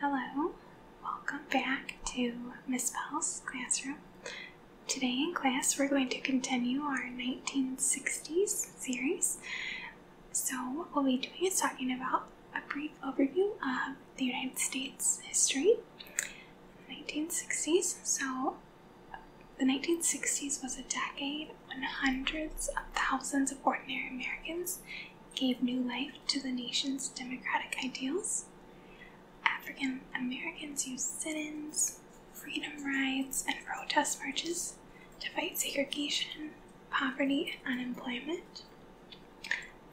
Hello, welcome back to Miss Bell's classroom. Today in class we're going to continue our 1960s series. So what we'll be doing is talking about a brief overview of the United States history, 1960s. So the 1960s was a decade when hundreds of thousands of ordinary Americans gave new life to the nation's democratic ideals. African Americans used sit ins, freedom rides, and protest marches to fight segregation, poverty, and unemployment.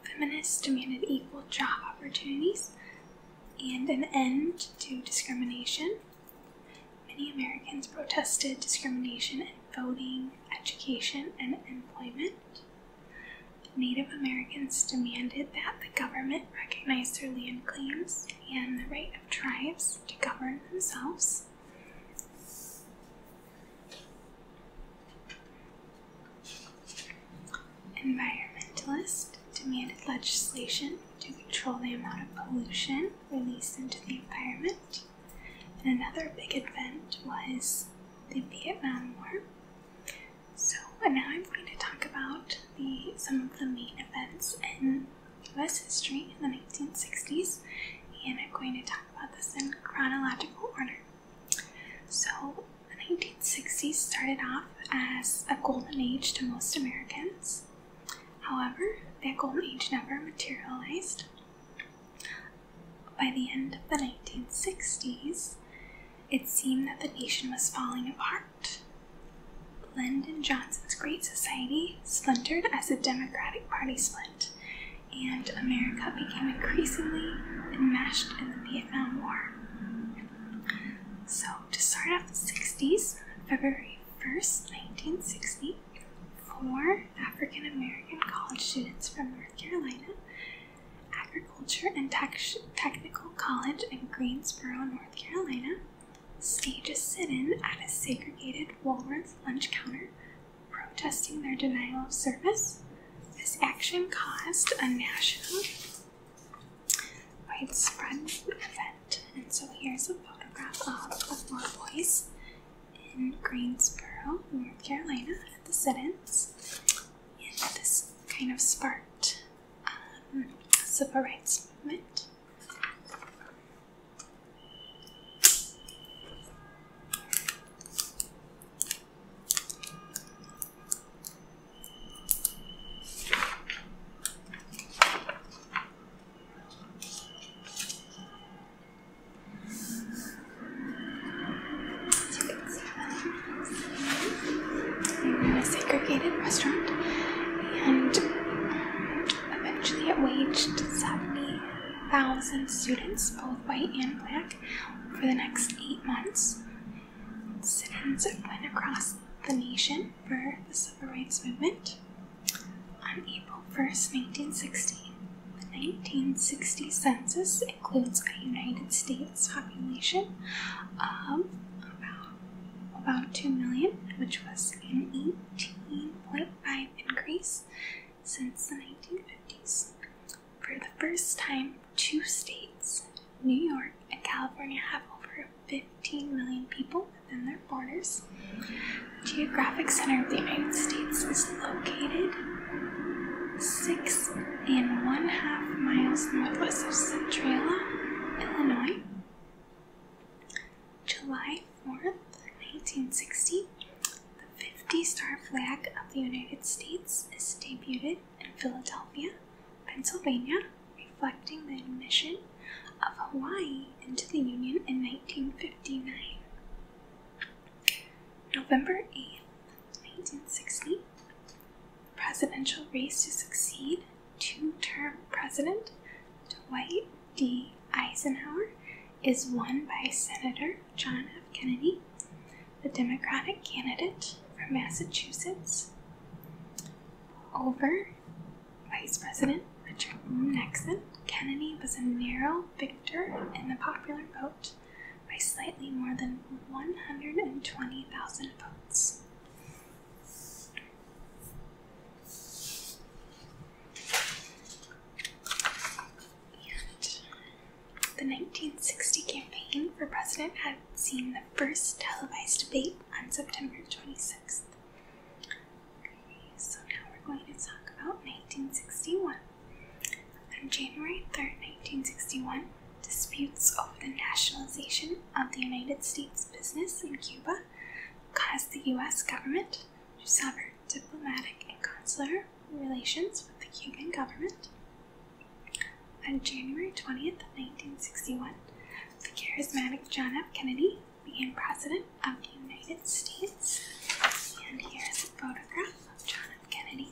Feminists demanded equal job opportunities and an end to discrimination. Many Americans protested discrimination in voting, education, and employment. Native Americans demanded that the government recognize their land claims and the right of tribes to govern themselves. Environmentalists demanded legislation to control the amount of pollution released into the environment. And another big event was the Vietnam War. So uh, now I'm going to talk about the some of the main events in U.S. history in the 1960s, and I'm going to talk about this in chronological order. So the 1960s started off as a golden age to most Americans. However, that golden age never materialized. By the end of the 1960s, it seemed that the nation was falling apart. Lyndon Johnson's Great Society splintered as the Democratic Party split, and America became increasingly enmeshed in the Vietnam War. So, to start off the 60s, February 1st, 1964, four African American college students from North Carolina Agriculture and Technical College in Greensboro, North Carolina, staged a sit in at a segregated Woolworth's lunch counter protesting their denial of service. This action caused a national widespread event. And so here's a photograph of the four boys in Greensboro, North Carolina, at the sit-ins, this kind of sparked um, civil rights movement we're in a segregated restaurant, and eventually it waged 70,000 students, both white and black, for the next eight months. Sit-ins went across the nation for the civil rights movement. On April 1st, 1960, the 1960 census includes a United States population of about, about 2 million, which was an 18.5 increase since the 1950s. For the first time, two states, New York and California, have over 15 million people within their borders. The geographic center of the United States is located six and one half miles northwest of Centralia, Illinois. July 4, 1960, the 50 star flag of the United States is debuted in Philadelphia, Pennsylvania, reflecting the admission of Hawaii into the Union in 1959. November 8th, 1960, presidential race to succeed two term president Dwight D. Eisenhower is won by Senator John F. Kennedy, the Democratic candidate from Massachusetts, over Vice President Richard Nixon. Kennedy was a narrow victor in the popular vote by slightly more than 120,000 votes. the 1960 campaign for president had seen the first televised debate on September 26th. so now we're going to talk about 1961. On January 3, 1961, disputes over the nationalization of the United States business in Cuba caused the U.S. government to sever diplomatic and consular relations with the Cuban government. On January 20, 1961, the charismatic John F. Kennedy became President of the United States. And here's a photograph of John F. Kennedy.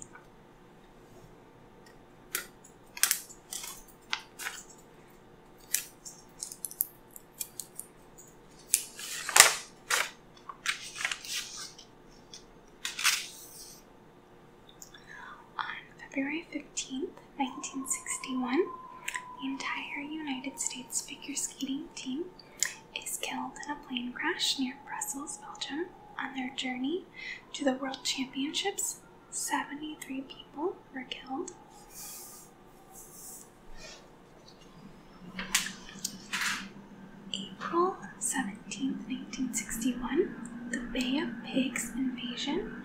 On February 15th, 1961, the entire United States figure skating team is killed in a plane crash near Brussels, Belgium, on their journey to the World Championships. 73 people were killed. April seventeenth, 1961, the Bay of Pigs invasion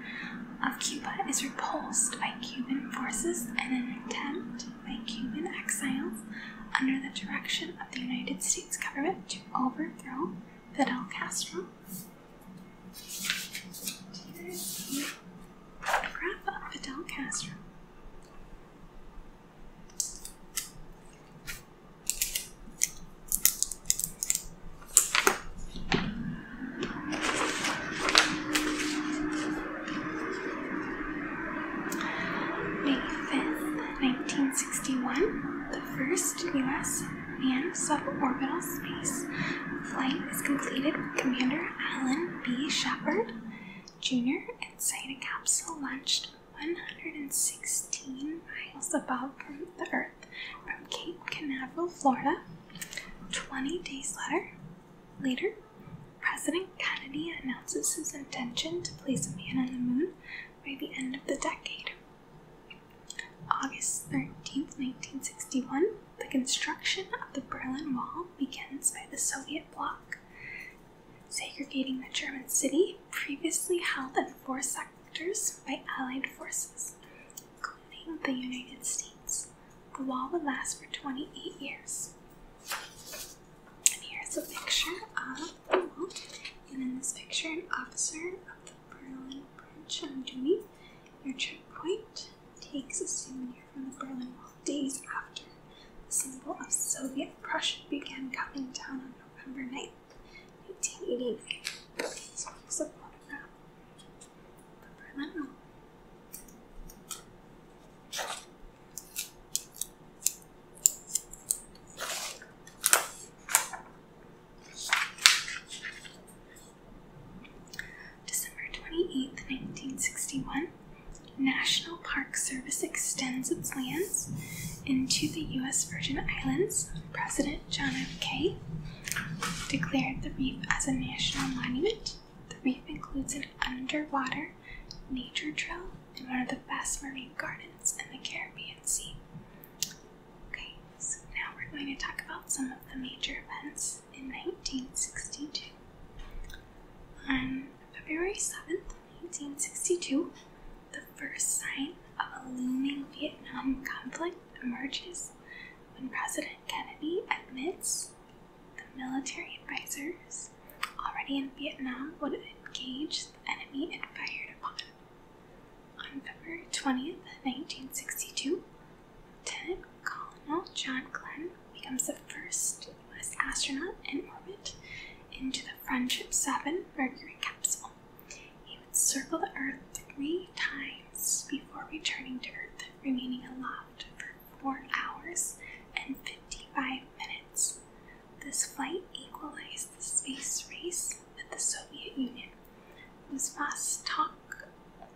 of Cuba is repulsed by Cuban forces in an attempt by Cuban exiles under the direction of the United States government to overthrow Fidel Castro. photograph of Fidel Castro. May 1961, the first U.S. manned suborbital space flight is completed with Commander Alan B. Shepard Jr. inside a capsule launched 116 miles above the Earth from Cape Canaveral, Florida. 20 days later, later President Kennedy announces his intention to place a man on the moon by the end of the decade. August thirteenth, 1961, the construction of the Berlin Wall begins by the Soviet bloc, segregating the German city, previously held in four sectors by Allied forces, including the United States. The wall would last for 28 years. And here's a picture of and in this picture, an officer of the Berlin branch of the army, near checkpoint takes a souvenir from the Berlin Wall days after the symbol of Soviet Prussia began coming down on November 9th, 1989. So here's a photograph of Berlin Wall. December 28, 1961, National Park Service extends its lands into the U.S. Virgin Islands. President John F. Kennedy declared the reef as a national monument. The reef includes an underwater nature trail and one of the best marine gardens in the Caribbean. A and C. Okay, so now we're going to talk about some of the major events in 1962. On February 7th, 1962, the first sign of a looming Vietnam conflict emerges when President Kennedy admits the military advisors already in Vietnam would engage the enemy fired upon on February 20th, 1962, Lieutenant Colonel John Glenn becomes the first U.S. astronaut in orbit into the Friendship 7 Mercury capsule. He would circle the Earth three times before returning to Earth, remaining aloft for 4 hours and 55 minutes. This flight equalized the space race with the Soviet Union, whose Vostok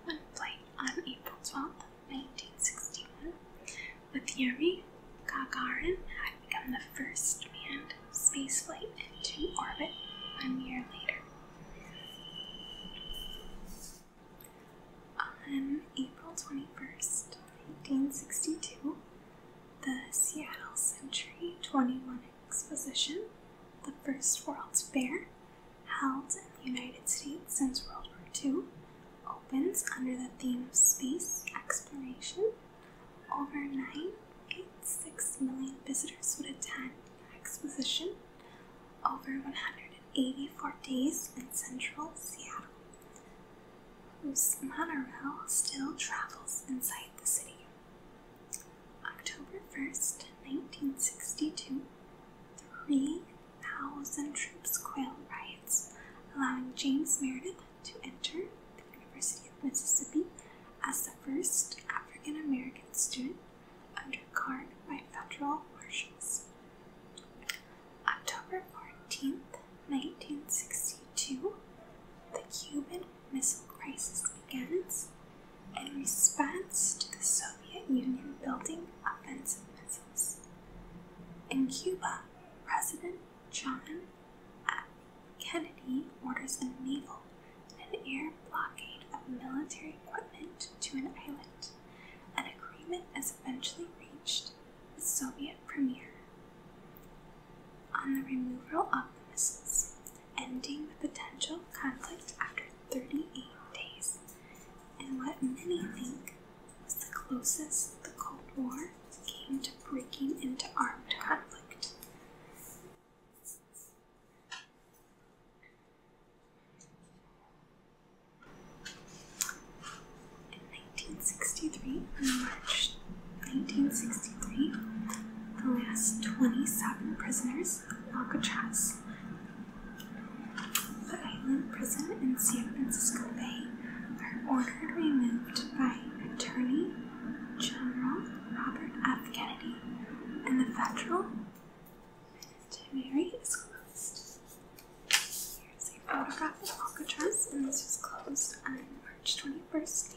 one flight on April 12, 1961, with Yuri Gagarin had become the first manned spaceflight into orbit A year later. On April 21, 1962, the Seattle Century 21 Exposition, the first World's Fair, held in the United States since World War II, opens under the theme of space exploration. Over six million visitors would attend the exposition over 184 days in central Seattle whose monorail still travels inside the city. October 1st, 1962, 3,000 troops quell riots, allowing James Meredith to enter the University of Mississippi as the first African American student under guard by federal marshals. October 14th, 1962, the Cuban Missile Crisis begins in response to the Soviet Union building offensive missiles. In Cuba, President John F. Kennedy orders a naval and an air blockade of military equipment to an island. An agreement is eventually reached with Soviet Premier on the removal of the missiles, ending the potential conflict after 38 days, and what many think was the closest the Cold War came to breaking into armed conflict. In 1963, March 1963, the last 27 prisoners of Alcatraz, the island prison in San Francisco Bay, are ordered removed by Attorney General Robert F. Kennedy, and the federal penitentiary is closed. Here's a photograph of Alcatraz, and this was closed on March 21st.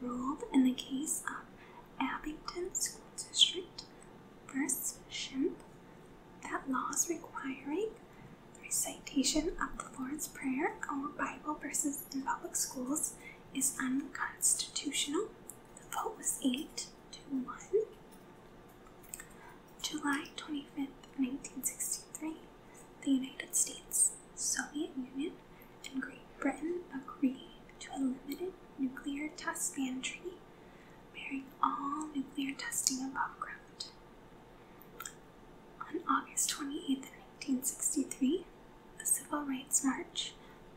ruled in the case of Abington School District versus Shimp that laws requiring recitation of the Lord's Prayer or Bible verses in public schools is unconstitutional. The vote was 8 to 1. July 25, 1963, the United States Soviet Union and Great Britain agreed to a limited nuclear test ban treaty, bearing all nuclear testing above ground. On August twenty eighth, 1963, the Civil Rights March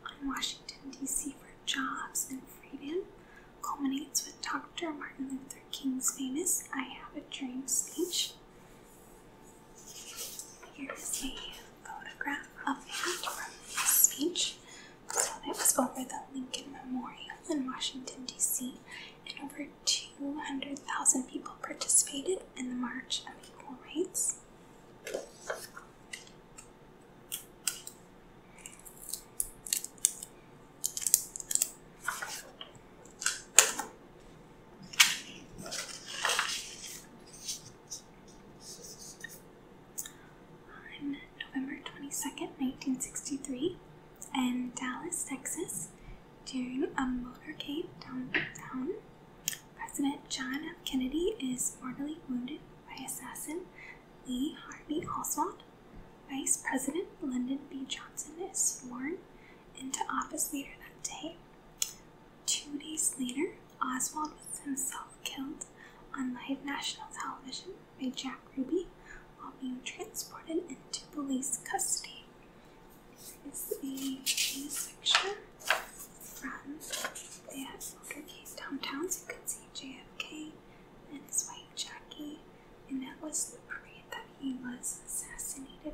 on Washington, D.C. for jobs and freedom culminates with Dr. Martin Luther King's famous I Have a Dream speech. Here's a photograph of him speech. So it was over the Lincoln Memorial in Washington, D.C., and over 200,000 people participated in the March of Equal Rights. November 22nd, 1963, in Dallas, Texas, during a motorcade downtown. President John F. Kennedy is mortally wounded by assassin Lee Harvey Oswald. Vice President Lyndon B. Johnson is sworn into office later that day. Two days later, Oswald was himself killed on live national television by Jack Ruby while being transported into police custody. This is a picture from that motorcade downtown. you can see JFK and his wife Jackie, and that was the parade that he was assassinated in.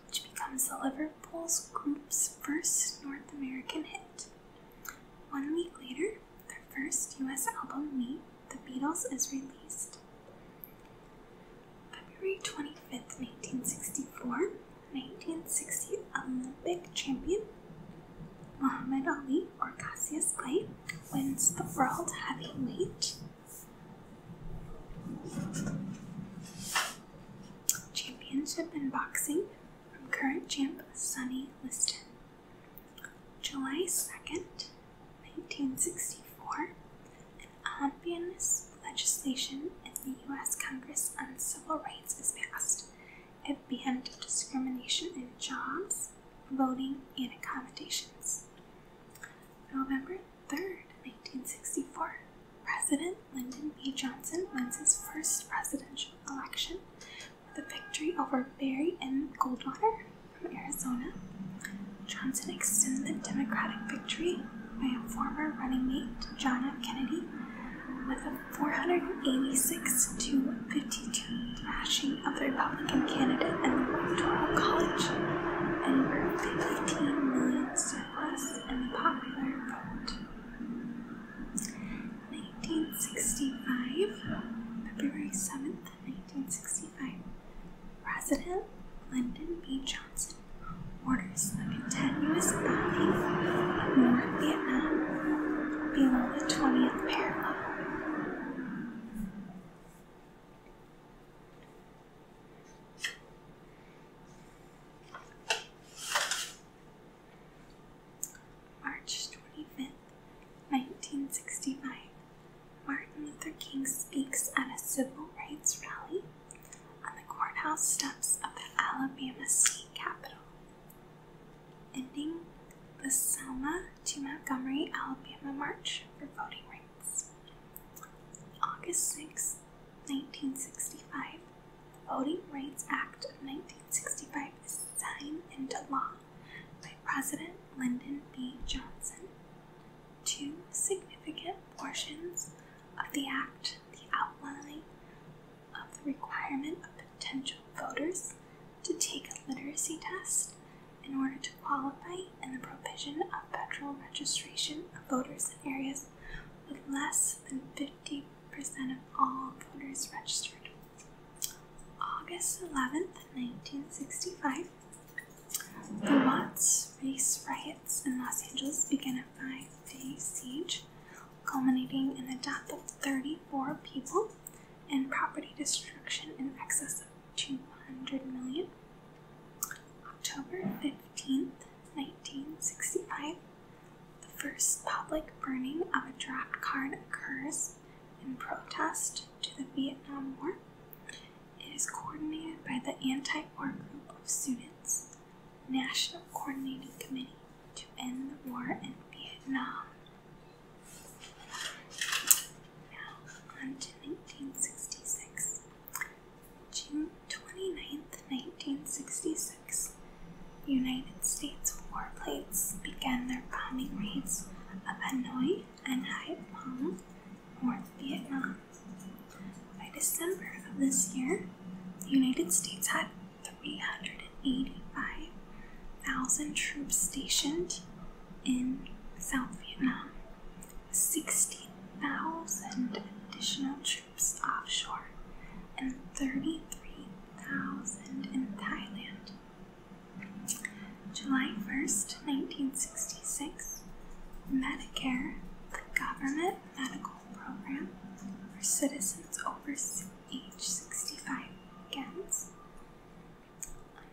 which becomes the Liverpool's group's first North American hit. One week later, their first US album, Meet the Beatles, is released. February 25th, 1964, 1960 Olympic champion Muhammad Ali or Cassius Clay wins the world heavyweight championship in boxing current champ Sunny Liston. July 2nd, 1964, an omnibus legislation in the U.S. Congress on Civil Rights is passed. It banned discrimination in jobs, voting, and accommodations. November 3rd, 1964, President Lyndon B. Johnson wins his first presidential election with a victory over Barry M. Goldwater from Arizona. Johnson extended the Democratic victory by a former running mate, John F. Kennedy, with a 486 to 52 thrashing of the Republican candidate in the Electoral College and over 15 million surplus in the popular vote. 1965, February 7th, 1965, President Lyndon B. Johnson orders the continuous bombing of North Vietnam below the 20th parallel. March twenty fifth, 1965, Martin Luther King speaks at a civil rights rally on the courthouse steps of the Alabama state capitol, ending the Selma to Montgomery, Alabama march for voting rights. August sixth. 1965, the Voting Rights Act of 1965 is signed into law by President Lyndon B. Johnson. Two significant portions of the Act, the outline of the requirement of potential voters to take a literacy test in order to qualify, and the provision of federal registration of voters in areas with less than 50% of all voters registered. August 11th, 1965, the Watts race riots in Los Angeles began a five day siege, culminating in the death of 34 people and property destruction in excess of 200 million. October 15th, 1965, the first public burning of a draft card occurs in protest to the Vietnam War. It is coordinated by the anti war group of students, National Coordinating Committee to End the War in Vietnam. Now, on to 1966. Jim 29th, 1966, United States warplanes began their bombing raids of Hanoi and Hai Phong, North Vietnam. By December of this year, the United States had 385,000 troops stationed in South Vietnam, 16,000 additional troops offshore and 33,000 in Thailand. July 1st, 1966, Medicare, the government medical program for citizens over age 65 begins.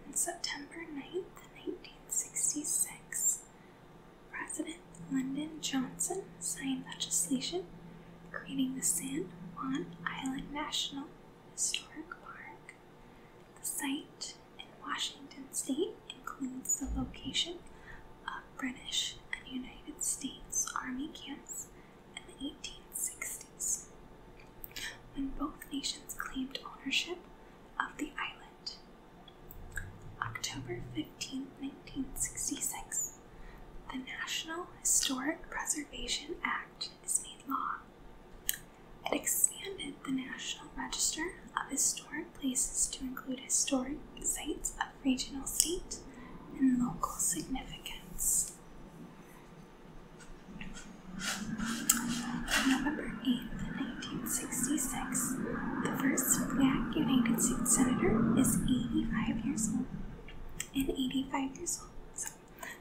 On September 9th, 1966, President London Johnson signed legislation creating the San Juan Island National Historic Park. The site in Washington state includes the location of British and United States Army camps in the 1860s, when both nations claimed ownership of the island. October 15, 1966, the National Historic Preservation Act is made law. It expanded the National Register of Historic Places to include historic sites of regional state and local significance. On November eighth, 1966, the first black United States Senator is 85 years old and 85 years old. So,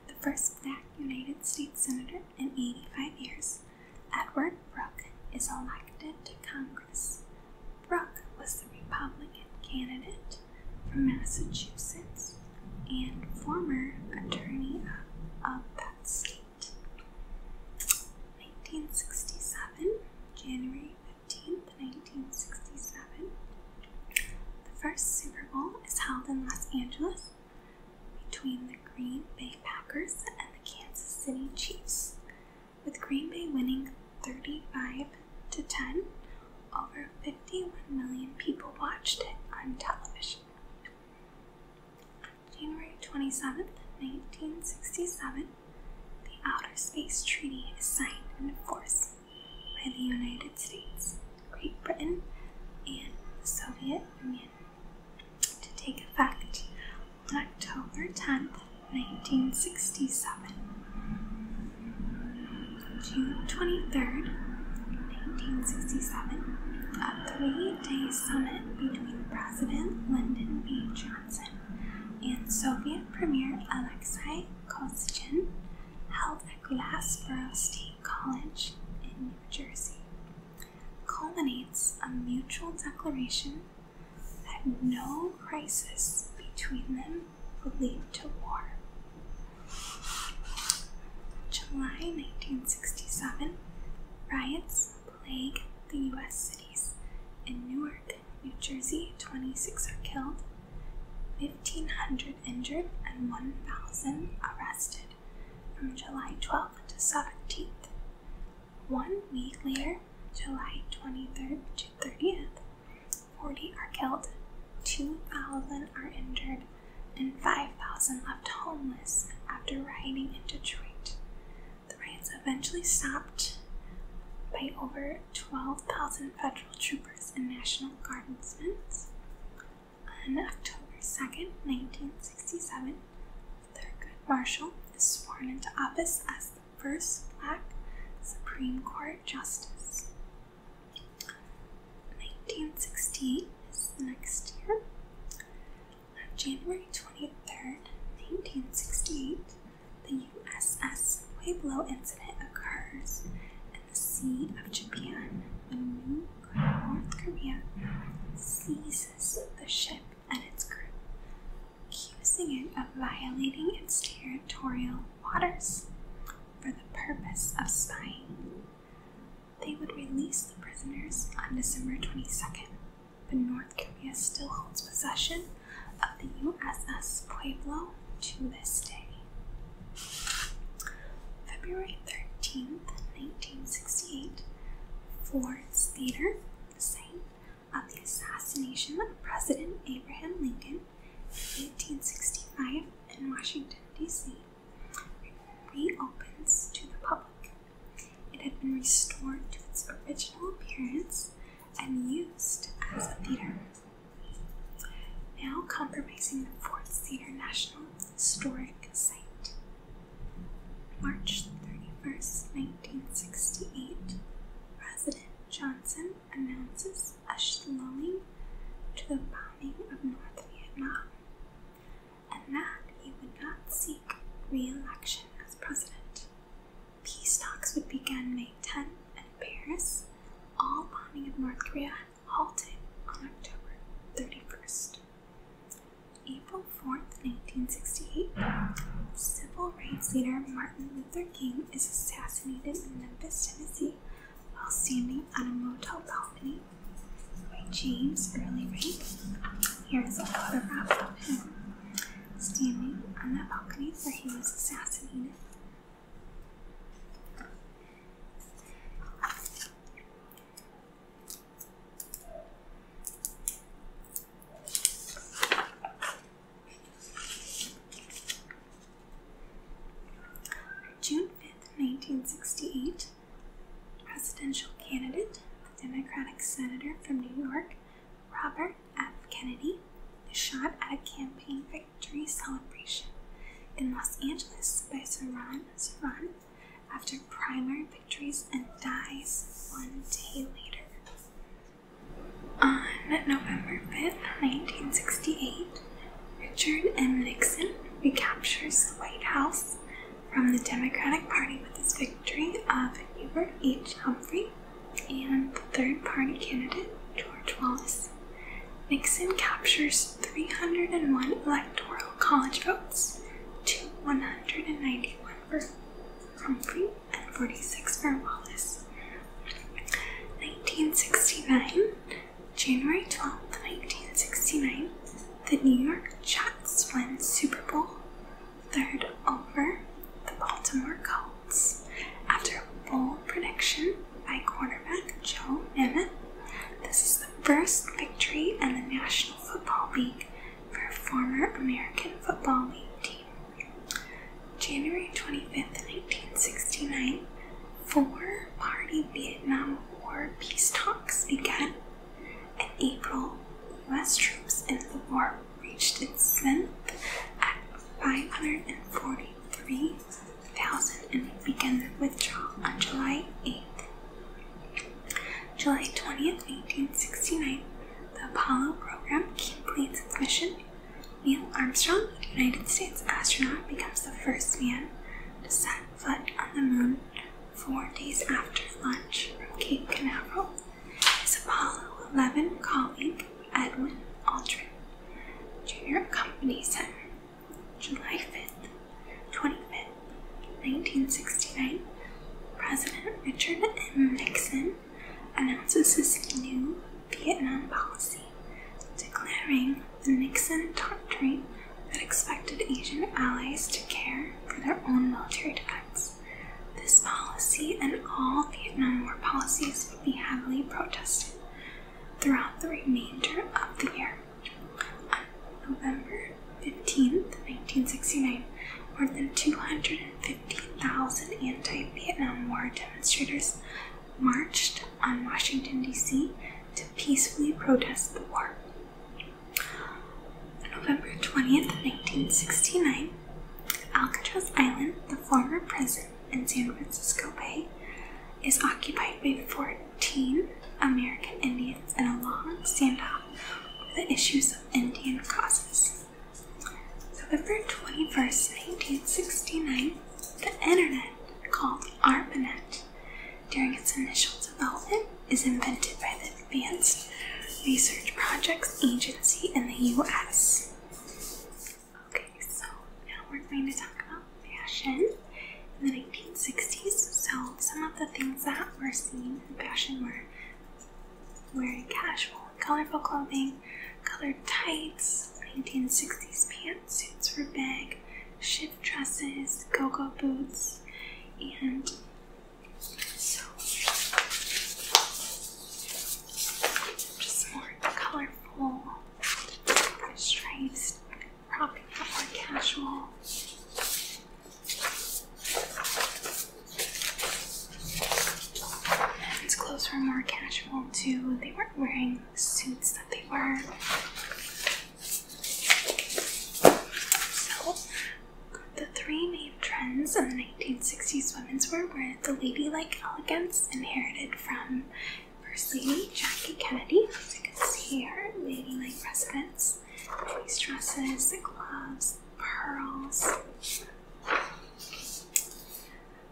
the first black United States Senator in 85 years, Edward Brooke, is elected to Congress. Brooke was the Republican candidate from Massachusetts and former attorney of, of that state. 1967, January 15th, 1967. The first Super Bowl is held in Los Angeles between the Green Bay Packers and the Kansas City Chiefs, with Green Bay winning 35 to 10. Over 51 million people watched it on television. January 27th, 1967, the Outer Space Treaty is signed and enforced by the United States, Great Britain, and the Soviet Union to take effect on October 10, 1967. June 23, 1967, a three-day summit between President Lyndon B. Johnson and Soviet Premier Alexei Cosgen held at Glassboro State College in New Jersey culminates a mutual declaration that no crisis between them would lead to war. July 1967, riots plague the U.S. cities. In Newark, New Jersey, 26 are killed, 1,500 injured and 1,000 arrested from July 12th to 17th. One week later, July 23rd to 30th, 40 are killed, 2,000 are injured, and 5,000 left homeless after rioting in Detroit. The riots eventually stopped by over 12,000 federal troopers and national guardsmen. On October 2nd, 1967, Thurgood Marshall is sworn into office as the first black Supreme Court Justice. 1968 is the next year. On January 23rd, 1968, the USS Pueblo incident occurs in the Sea of Japan when New North Korea seizes the ship and its crew, accusing it of violating its territorial waters for the purpose of spying. They would release the prisoners on December 22nd, but North Korea still holds possession of the USS Pueblo to this day. February 13th, 1968, Ford's Theater, site of the assassination of President Abraham Lincoln 1865 in Washington, D.C., reopens to the public. It had been restored to its original appearance and used as a theater now compromising the Fort Cedar National Historic Site. March 31st, 1968, President Johnson announces a slowing to the bombing of North Vietnam and that he would not seek re election as president. Peace talks would begin May 10 in Paris. All bombing of North Korea halted on October 31st. April 4th, 1968, civil rights leader Martin Luther King is assassinated in Memphis, Tennessee, while standing on a motel balcony by James Early Rank. Here is a photograph of him standing on that balcony where he was assassinated June 5th, 1968, presidential candidate, the Democratic senator from New York, Robert F. Kennedy is shot at a campaign victory celebration in Los Angeles by Saran Saran after primary victories and dies one day later. On November 5, 1968, Richard M. Nixon recaptures the White House from the Democratic Party with his victory of Hubert H. Humphrey and the third party candidate, George Wallace. Nixon captures 301 electoral college votes to 191 for Humphrey and 46 for Wallace. 1969, January twelfth, 1969, the New York Jets win Super Bowl third over the Baltimore Colts. After a bold prediction by quarterback Joe Emmett, this is the first victory in the National Football League for a former American Football League team. January 25th, 1969, four party Vietnam War peace talks began. In April, U.S. troops in the war reached its zenith at 540 3000 and began withdrawal on July 8th. July 20th, sixty nine. the Apollo program completes its mission. Neil Armstrong, United States astronaut, becomes the first man to set foot on the moon four days after launch from Cape Canaveral. His Apollo 11 colleague, Edwin Aldrin, Junior accompanies him. July 5th, 25th, 1969, President Richard M. Nixon announces his new Vietnam policy, declaring the Nixon Doctrine that expected Asian allies to care for their own military defense. This policy and all Vietnam War policies would be heavily protested throughout the remainder of the year. On November 15, 1969, more than 250,000 anti Vietnam War demonstrators marched on Washington, D.C. to peacefully protest the war. On November 20, 1969, Alcatraz Island, the former prison in San Francisco Bay is occupied by 14 American Indians in a long standoff over the issues of Indian causes. November 21, 1969, the internet, called ARPANET, during its initial development, is invented by the Advanced Research Projects Agency in the US. Okay, so now we're going to talk about fashion in the 1960s. So some of the things that were seen in fashion were wearing casual, colorful clothing, colored tights, 1960s pantsuits for big, shift dresses, go-go boots, and just more colorful our probably more casual. Men's clothes were more casual too. They weren't wearing the suits that they were. So, the three main trends in the 1960s women's wear were the ladylike elegance inherited from First Lady Jackie Kennedy, as you can see her ladylike residence, these dresses, the gloves, the pearls.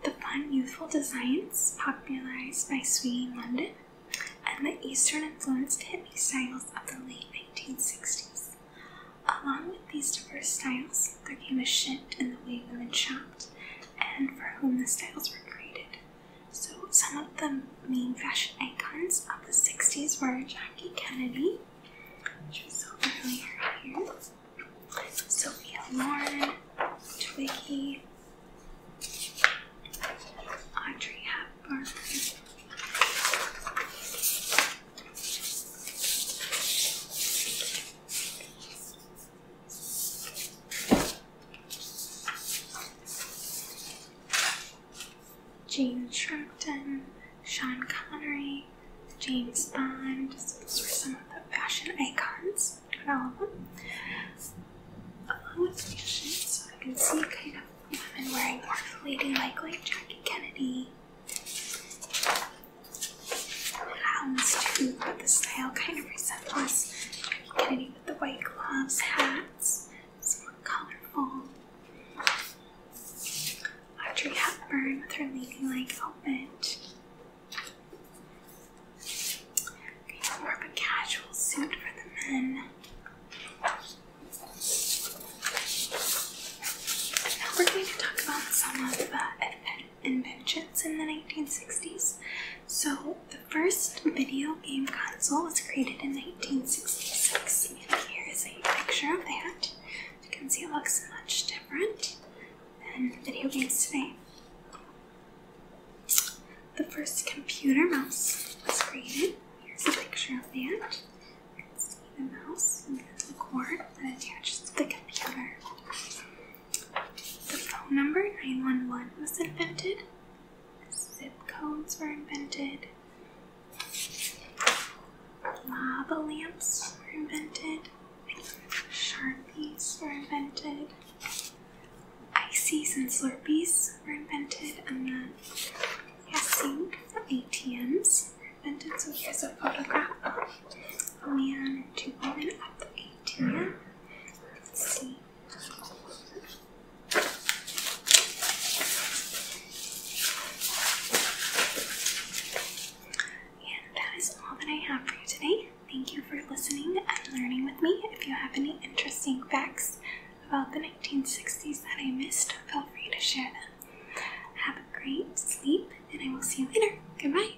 The fun, youthful designs popularized by swinging London and the Eastern influenced hippie styles of the late 1960s. Along with these diverse styles, there came a shift in the way women shopped and for whom the styles were created. So, some of the main fashion icons of the 60s were Jackie Kennedy, which we saw here, Sophia Loren, Twiggy, Audrey Hepburn. Gene Sharpton, Sean Connery, James Bond. So those were some of the fashion icons, all of them. Along with fashion, so I can see kind of women wearing more ladylike, like Jackie Kennedy, the hounds too, but the style kind of resembles maybe Kennedy with the white gloves, hats. It's more colorful. Audrey Hepburn with her ladylike outfit. Okay, more of a casual suit for the men. Now we're going to talk about some of the uh, inventions in the 1960s. So, the first video game console was created in 1966, and here is a picture of that. you can see, it looks much different than video games today. The first computer mouse was created. Here's a picture of that. You can see the mouse and the cord that attaches to the computer. The phone number 911 was invented, zip codes were invented, lava lamps were invented, sharpies were invented, ices and slurpees were invented, and then a sink ATMs were invented. So here's a photograph of a man and two women at the right see. And that is all that I have for you today. Thank you for listening and learning with me. If you have any interesting facts about the 1960s that I missed, feel free to share them. Have a great sleep, and I will see you later. Goodbye.